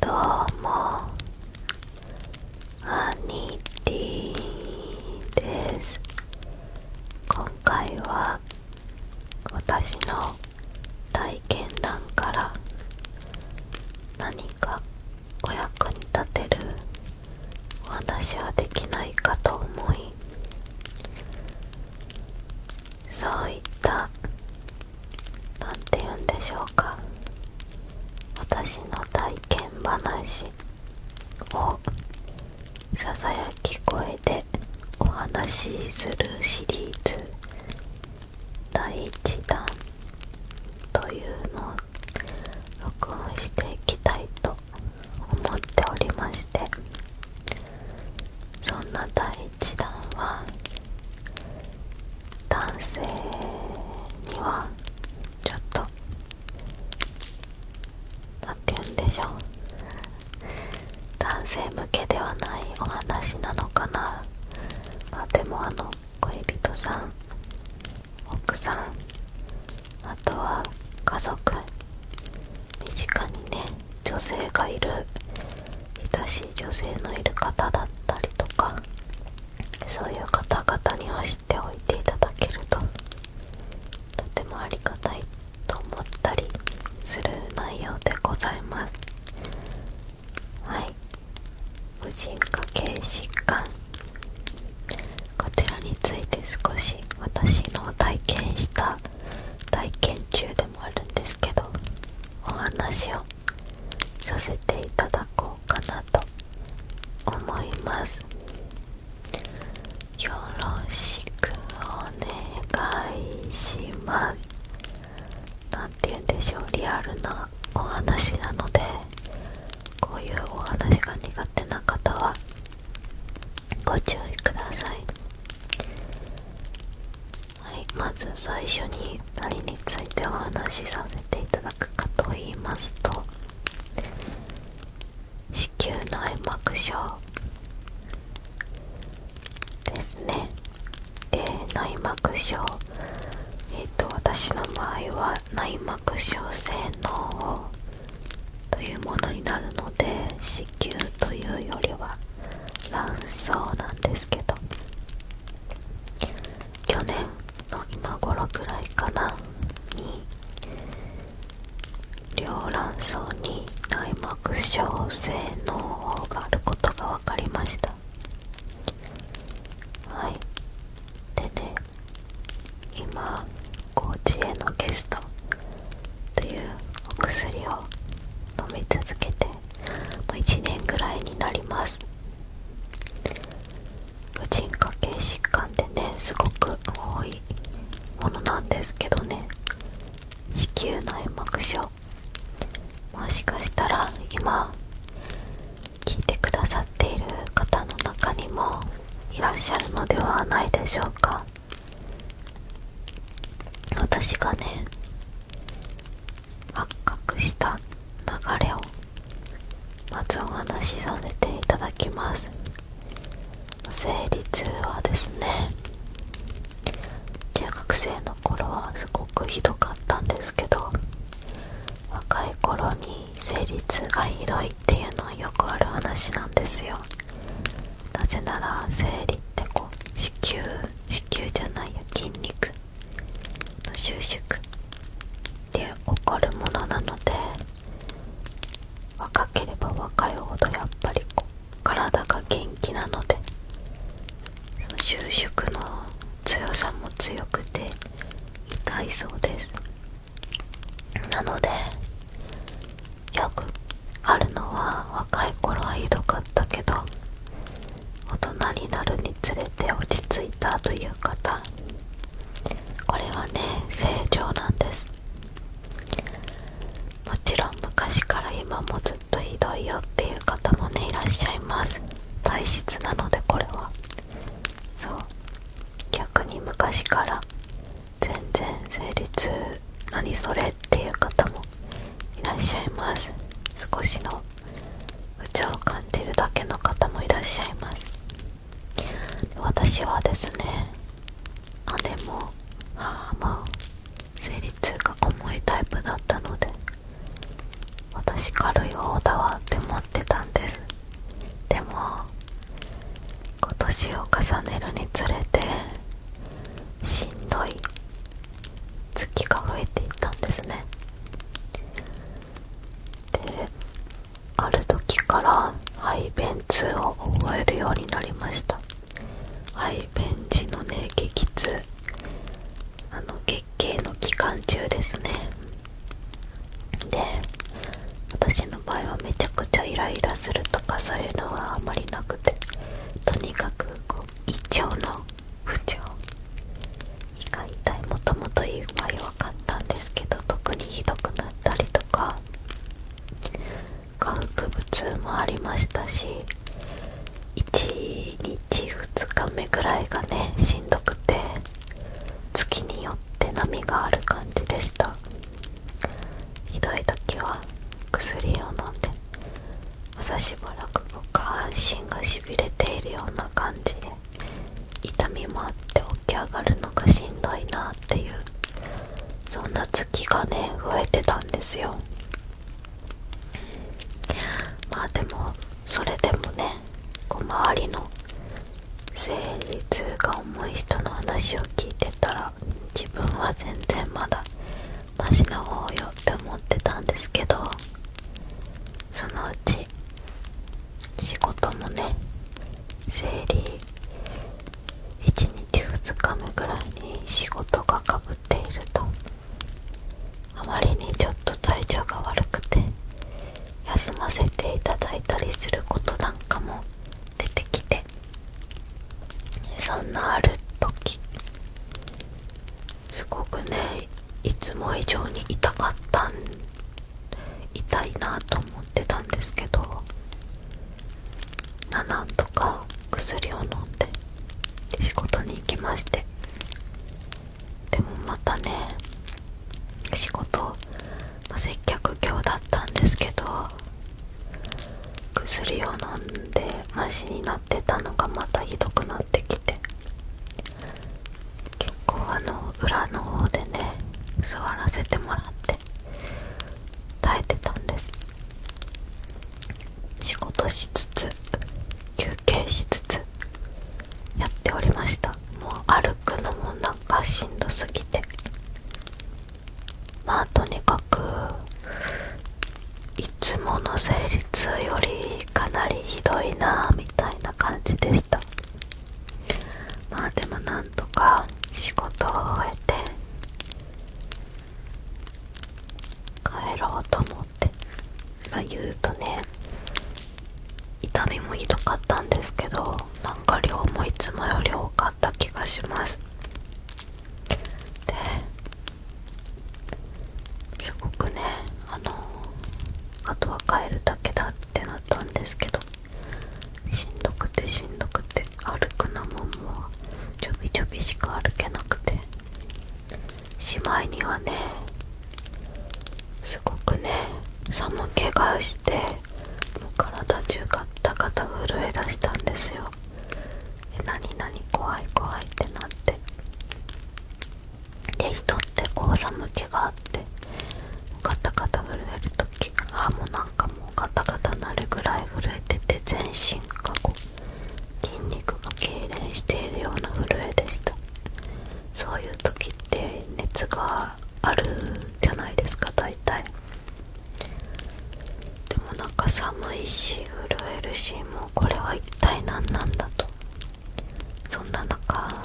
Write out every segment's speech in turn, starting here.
どうもアニティです今回は私の体験談から何かお役に立てるお話はできないかと思いそういった何て言うんでしょうか私の体験話をささやき声でお話しするシリーズ第1弾というのを録音していきたいと思っておりましてそんな第1弾は男性にはちょっと何て言うんでしょう男性向けではないお話なのかなあでもあの恋人さん奥さんあとは家族身近にね女性がいる親しい女性のいる方だったりとかそういう方々には知っておいていただけるととてもありがたいと思ったりする内容でございますはい無人化系疾患こちらについて少し私の体験した体験中でもあるんですけどお話をさせていただこうかなと思いますよろしくお願いします何て言うんでしょうリアルなお話なのでこういうお話が苦手な方はご注意くださいはいまず最初に何についてお話しさせていただくかと言いますと子宮内膜症ですねで内膜症えっ、と私の場合は内膜症性脳をというものになるので子宮というよりは卵巣なんですけど去年の今頃くらいかなに両卵巣に内膜症性脳胞があることが分かりましたはいでね今高知へのゲストというお薬を飲み続けても1年ぐらいになります婦人科系疾患ってねすごく多いものなんですけどね子宮内膜症もしかしたら今聞いてくださっている方の中にもいらっしゃるのではないでしょうか私がね発覚した流れをまずお話しさせていただきます生理痛はですね中学生の頃はすごくひどかったんですけど若い頃に生理痛がひどいっていうのはよくある話なんですよなぜなら生理ってこう子宮子宮じゃないや筋肉の収縮で起こるものなので若ければ若いほどやっぱりこう体が元気なので収縮の強さも強くて痛いそうですなのでよくあるのは若い頃はひどかったけど大人になるにつれて落ち着いたという方これはね正常なんですもちろん昔から今もずっとひどいよっていう方もねいらっしゃいます体質なのでこれはそう逆に昔から全然生理痛何それっていう方もいらっしゃいます少しの不調を感じるだけの方もいらっしゃいます私はですね姉も母も生理痛が重いタイプだったので私軽い方だわって思ってたんですでも今年を重ねるにつれてしんどい月が増えていったんですねである時から排便痛を覚えるようになりました排便時のね激痛あの月経の期間中ですねで私ののはめちゃくちゃイライラするとかそういうのはあまりなくてとにかくこう胃腸の不調胃が痛いもともと胃が弱かったんですけど特にひどくなったりとか化学物もありましたし1日2日目ぐらいがねしんどくて月によって波がある感じでしたひどい時は薬を飲んで朝しばらく下半身がしびれているような感じで痛みもあって起き上がるのがしんどいなっていうそんな月がね増えてたんですよまあでもそれでもねこう周りの生理痛が重い人の話を聞いてたら自分は全然まだマシな方よって思ってたんですけどそのうち仕事もね生理1日2日目ぐらいに仕事がかぶっているとあまりにちょっと体調が悪くて休ませていただいたりすることなんかも出てきてそんなある時すごくねいつも以上に痛かったん痛いなと思ってたんですけど7あなんとか薬を飲んで仕事に行きましてでもまたね仕事、ま接客業だったんですけど薬を飲んでましになってたのがまたひどくなってきて結構あの裏の方でね座らせてもらって耐えてたんです仕事しつつ休憩しつつやっておりましたもう歩くのもなんかしんどすぎてまあとにかくいつもの生理痛よりかなりひどいなみたいな感じでしたまあでもなんとか仕事を終えて帰ろうと思ってまあ言うとね痛みもひどかったんですけどなんか量もいつもより多かった気がしますですごくねあのあとは帰るだけだってなったんですけどしんどくてしんどくて歩くのももちょびちょびしか歩けなくてしまいにはねすごくね寒気がして体中ガタガタ震えだしたんですよ何々怖い怖いってなってで人ってこう寒気があってガタガタ震える時歯もなんかもうガタガタなるぐらい震えてて全身がこう筋肉が痙攣しているような震えでしたそういう時って熱があるじゃないですか大体でもなんか寒いし震えるしもうこれは一体何なんだとそんな中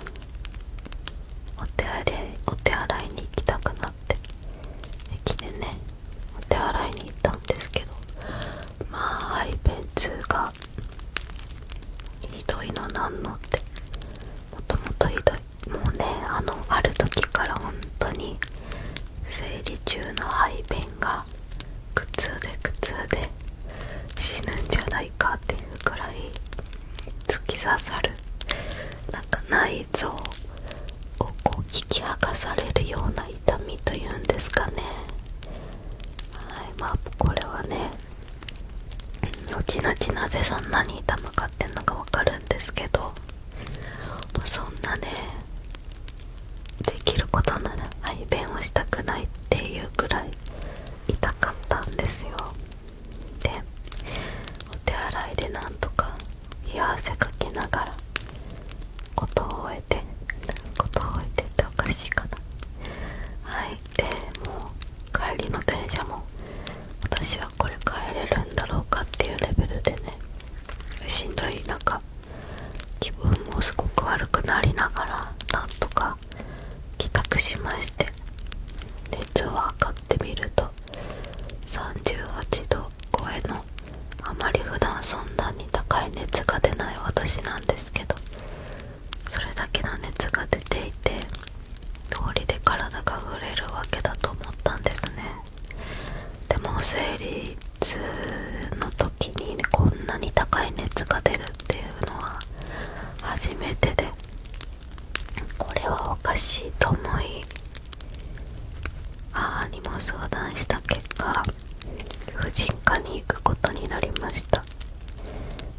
お手洗いお手洗いに行きたくなって駅でねお手洗いに行ったんですけどまあ排便痛がひどいの何のってもともとひいもうねあのある時から本当に生理中の排便が苦痛で苦痛で死ぬんじゃないかっていうくらい突き刺さるなんか内臓をこう引き剥がされるような痛みというんですかねはいまあこれはね後々なぜそんなに痛むかってんのかわかるんですけど、そんなねできることなら排便をしたくないっていうぐらい痛かったんですよでお手洗いでなんとか冷や汗かきながらことを終えてことを終えてっておかしいかなはいでもう帰りの電車も私はこれ帰れるんだろうかっていうレベルでねしんどい中、気分もすごく悪くなりながらなんとか帰宅しまして熱を測ってみると38度超えのあまり普段そんなに高い熱が出ない私なんですけどそれだけの熱が出ていて通りで体が触れるわけだと思ったんですねでも生理痛の時に、ね、こんなに高い熱が出るっていうのは初めてでこれはおかしいと思い母にも相談した結果婦人科に行くことになりました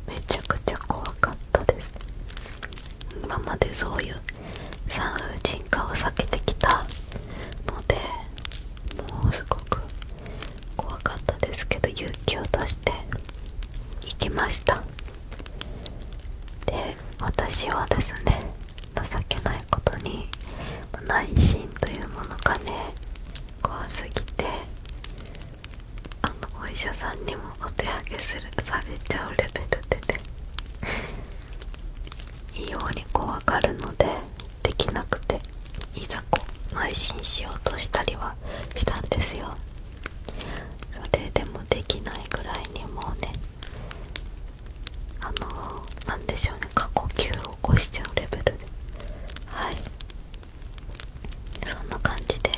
めちゃくちゃ怖かったです今までそういう産婦人科を避けてきたのでもうすごく怖かったですけど勇気を出して行きましたで私はですね情けないことに内心というものがね怖すぎてあのお医者さんにもお手上げするされちゃうレベルでね異様に怖がるのでできなくていざこう邁進しようとしたりはしたんですよそれでもできないぐらいにもうねあのー、なんでしょうね過呼吸を起こしちゃうレベルではいそんな感じで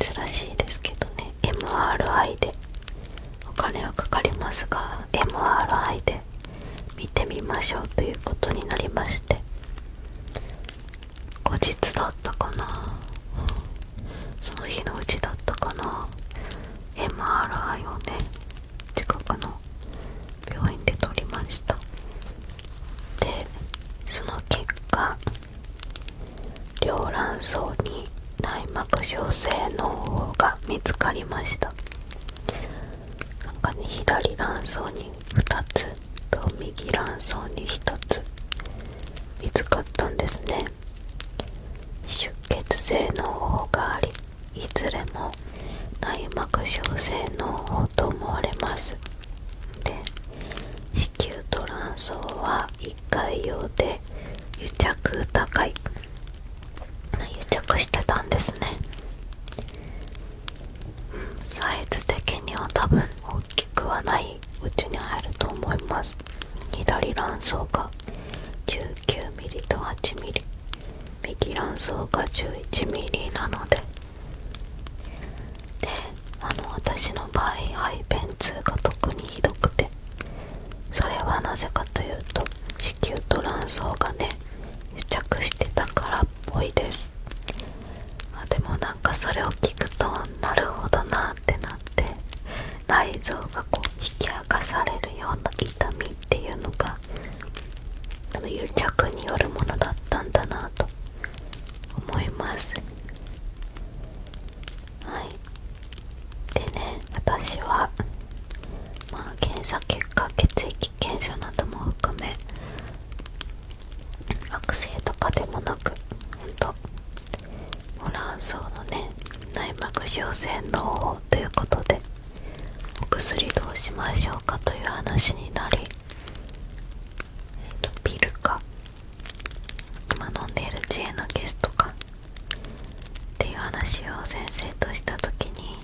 珍しいですけどね MRI でお金はかかりますが MRI で見てみましょうということになりまして後日だったかなその日のうちだったかな MRI をね近くの病院で取りましたでその結果両卵巣に内膜症性の方が見つかりました中に左卵巣に2つと右卵巣に1つ見つかったんですね出血性の方がありいずれも内膜症性の方と思われますで子宮と卵巣は1回用で癒着高い癒着してたんですねサイズ的には多分大きくはないうちに入ると思います左卵巣が 19mm と 8mm 右卵巣が 11mm なのでであの私の場合肺便痛が特にひどくてそれはなぜかというと子宮と卵巣がね癒着してたからっぽいですあでもなんかそれを聞くとなるほどなってなって内臓がこう引き明かされるような痛みっていうのがあの癒着によるものだったんだなと思いますはいでね私はま検査結果血液検査なども含め悪性とかでもなくほんとホラン草のね内膜症性の脳法ということでお薬どうしましょうかという話になり、えルか今飲んでいる知恵のゲストかっていう話を先生とした時に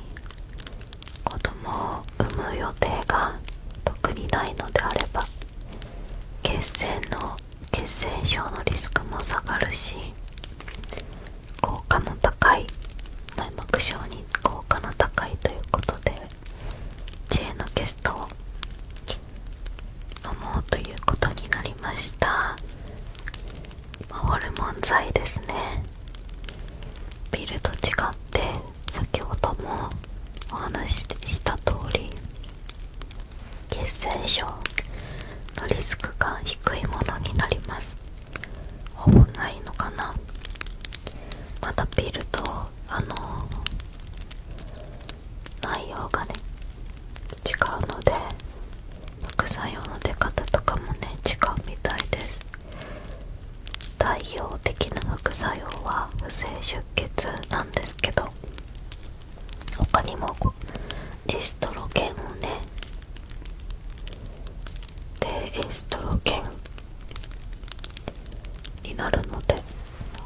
子供を産む予定が特にないのであれば血栓の血栓症のリスクも下がるし効果も高い内膜症に効果の高いということで知恵のゲストを飲もうということになりましたホルモン剤ですねビルと違って先ほどもお話しした通り血栓症のリスクが低いものになりますほぼないのかなまたビルとあの内容がね違うので副作用の出方とかもね違うみたいです代表的な副作用は不正出血なんですけど他にもエストロゲンをねでエストロゲンになるので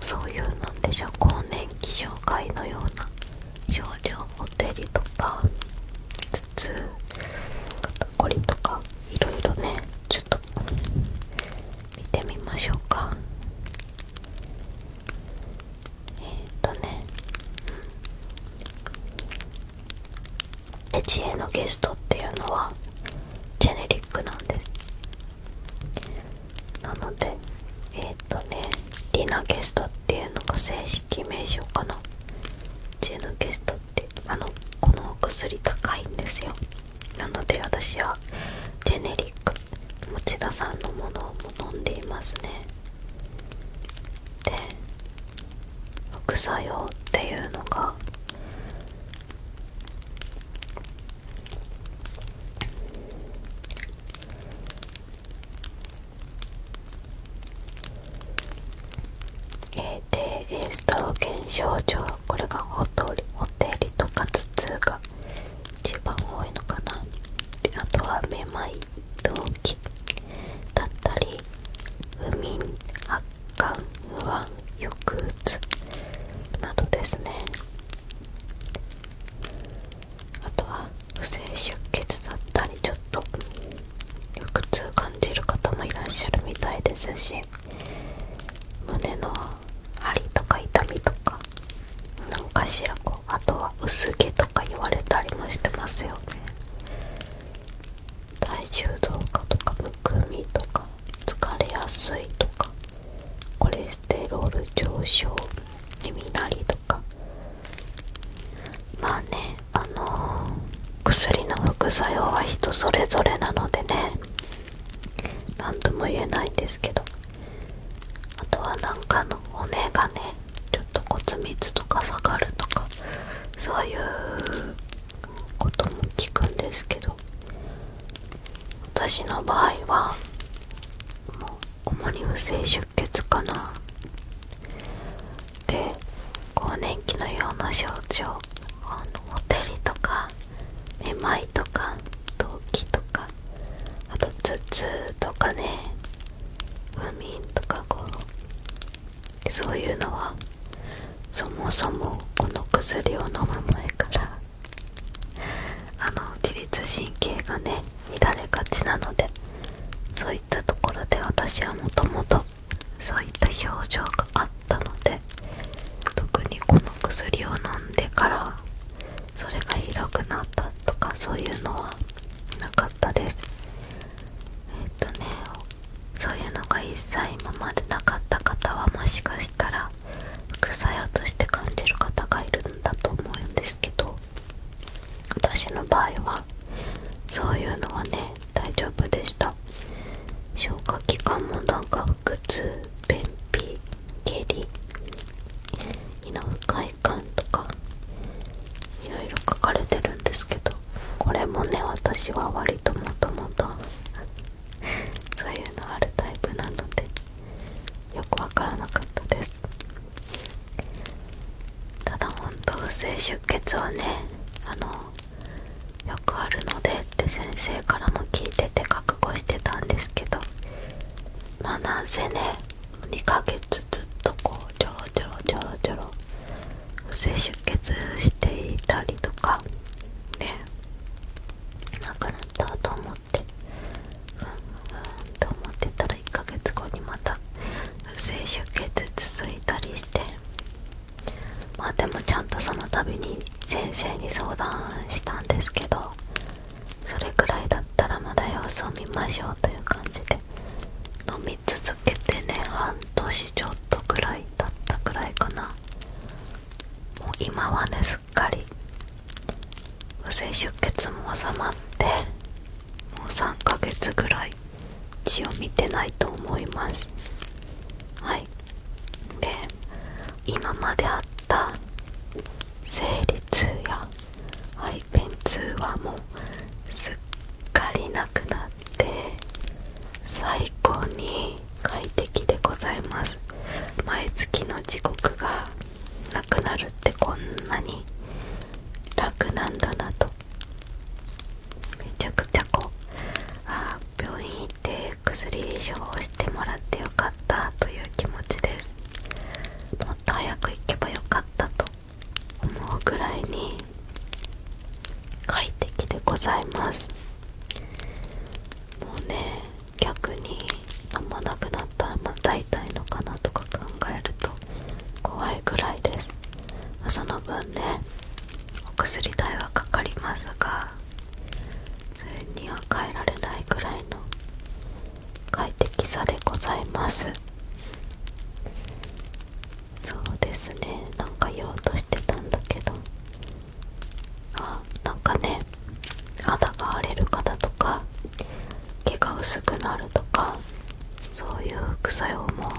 そういうなんでしょう更年期障害のような症状ほてりとか頭痛肩こりとかいろいろねちょっと見てみましょうかえっ、とねエチエのゲストっていうのはジェネリックなんですなのでえっ、とねディナゲストっていうのが正式名称かなジェノゲストってあのこのお薬高いんですよなので私はジェネリック持田さんのものも飲んでいますねで副作用っていうのがエストロゲン症状これがおホテルとか頭痛が一番多いのかなあとはめまい動悸だったり不眠発がん不安抑うつなどですねあとは不正出血だったりちょっと腹痛感じる方もいらっしゃるみたいですし胸の張りとか痛みとか何かしらこうあとは薄毛とか言われたりもしてますよね体重増加とかむくみとか疲れやすいとかコレステロール上昇耳鳴りとかまあねあの薬の副作用は人それぞれなのでね何とも言えないんですけどあとはなんかの骨がねちょっと骨密とか下がるとかそういうことも聞くんですけど私の場合はもう主に不正出血かなで更年期のような症状あのほてりとかめまいとか動悸とかあと頭痛とかね不眠とかこうそういうのはそもそもこの薬を飲む前からあの自律神経がね乱れがちなのでそういったところで私はもともとそういった表情があったので特にこの薬を飲んでからそれがひどくなったとかそういうのはなかったですえっとねそういうのが一切今までなかった方はもしかしたら副作用として感じる方がいるんだと思うんですけど私の場合はそういうのはね大丈夫でした消化器官もなんか腹痛便秘下痢胃の不快感とかいろいろ書かれてるんですけどこれもね私は割ともともとそういうのあるタイプなのでよくわからなかったですただほんと不正出血はねあのよくあるのでって先生からも聞いてて覚悟してたんですけどまあなんせね2ヶ月ずっとこうちょろちょろちょろちょろ不正出血していたりとかねなくなったと思ってうんうんと思ってたら1ヶ月後にまた不正出血続いたりしてまあでもちゃんとその度に先生に相談したんですけどそれくらいだったらまだ様子を見ましょうという感じで飲み続けてね半年ちょっとくらいだったくらいかなもう今はねすっかり不正出血も収まってもう3ヶ月ぐらい血を見てないと思いますはいで今まであった生理痛や排便痛はもうすっかりなくなっっ最高に快適でございます毎月の時刻がなくなるってこんなに楽なんだなとめちゃくちゃこうあ病院行って薬処方してもらってよかったという気持ちですもっと早く行けばよかったと思うぐらいに快適でございますもうね逆にあんまなくなったらまた痛いのかなとか考えると怖いぐらいですその分ねお薬代はかかりますがそれには変えられないぐらいの快適さでございますそうですねなんか言おうとしてたんだけどあなんかね肌が荒れる方とか毛が薄くなるとかそういう副作用も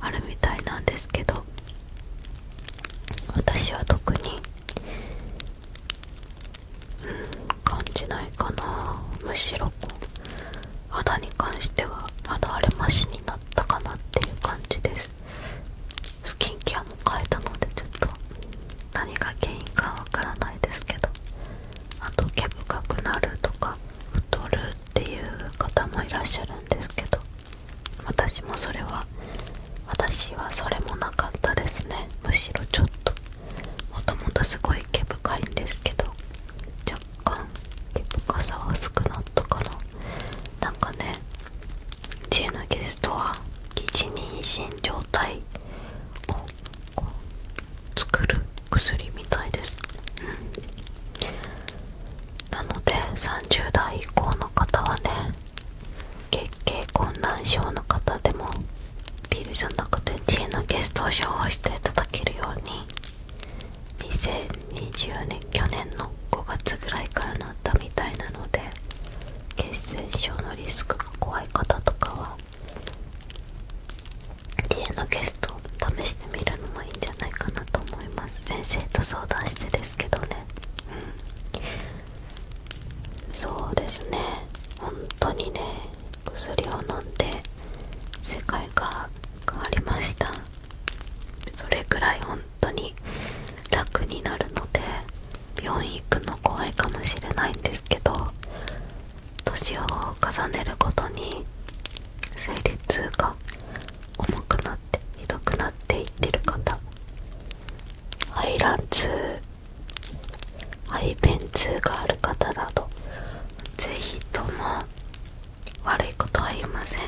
あるみたいなんですけど私は特にうん感じないかなむしろこう肌に関しては肌荒れましになったかなっていう感じですスキンケアも変えたのでちょっと何が原因かわからないですけどあと毛深くなるとか太るっていう方もいらっしゃるんですけど私もそれは私はそれもなかったですねむしろちょっともともとすごい毛深いんですけど若干毛深さは薄くなったかななんかね知恵のゲストは一人心状態を作る薬みたいです、うん、なので30代以降の方はね月経困難症の方でもビールじゃなくて知恵のゲストを処方していただけるように2020年去年の5月ぐらいからなったみたいなので血栓症のリスクが怖い方とかは家のゲスト試してみるのもいいんじゃないかなと思います先生と相談してですけどねうんそうですね本当にね薬を飲んで世界が変わりましたそれくらい本当に楽になるので病院行くの怖いかもしれないんですけど年を重ねるごとに生理痛が重くなってひどくなっていってる方排卵痛排便痛がある方などぜひとも悪いことは言いません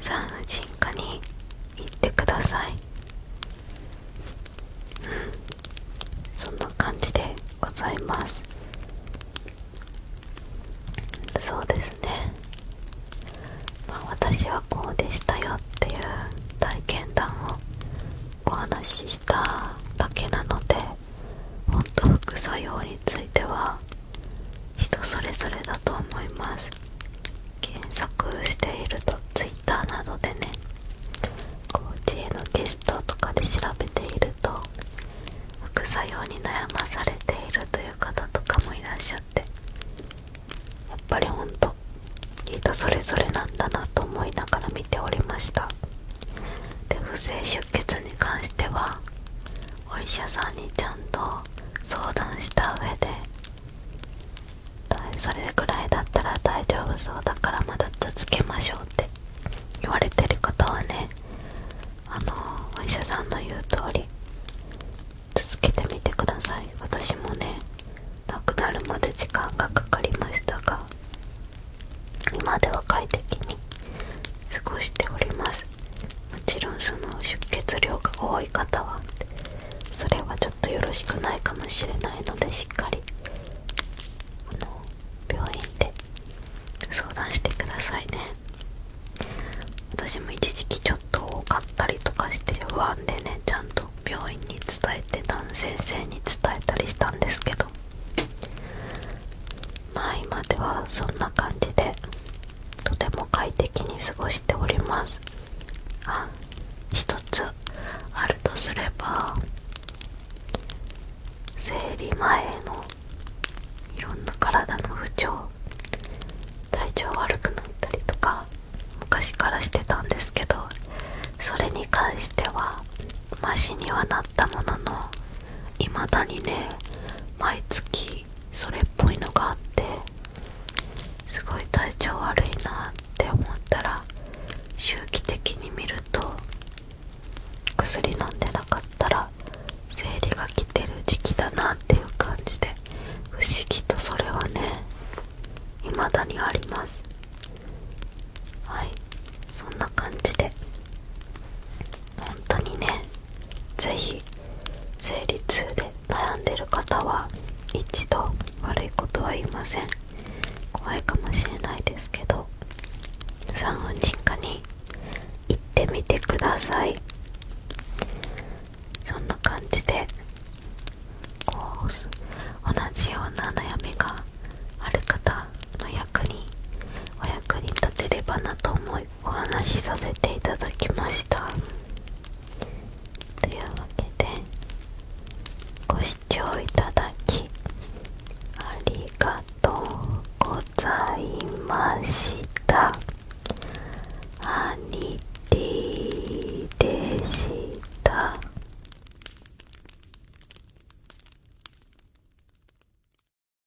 産婦人科に行ってくださいうんそんな感じでございますそうですねまあ私はこうでしたよっていう体験談をお話ししただけなのでほんと副作用については人それぞれだと思います検索していると Twitter などでねコーチへのテストとかで調べていると副作用に悩まされているという方とかもいらっしゃってやっぱりほんと人それぞれなんだなと思いながら見ておりましたで不正出血に関してはお医者さんにちゃんと相談した上でそれぐらいだったら大丈夫そうだからまだ続けましょうって言われてる方はねあのお医者さんの言う通り続けてみてください私もね亡くなるまで時間がかかりましたが今では快適に過ごしておりますもちろんその出血量が多い方はそれはちょっとよろしくないかもしれないのでしっかり病院で相談してくださいね私も一時期ちょっと多かったりとかして不安でねちゃんと病院に伝えてた先生に伝えたりしたんですけどまあ今ではそんな感じでとても快適に過ごしておりますあ一つあるとすれば生理前のいろんな体の不調体調悪くなったりとか昔からしてたんですけどそれに関してはマシにはなったもののいまだにね毎月それっぽいのがあってすごい体調悪いなって思ったら周期的に見ると薬飲んでなかったら生理が来てる時期だなっていう感じで不思議とそれはね未だにありますはいそんな感じで本当にねぜひ生理痛で悩んでる方は一度悪いことは言いません怖いかもしれないですけど産婦人科に行ってみてくださいそんな感じでこう同じような悩みがある方の役にお役に立てればなと思いますお話しさせていただきましたというわけでご視聴いただきありがとうございました兄貴でした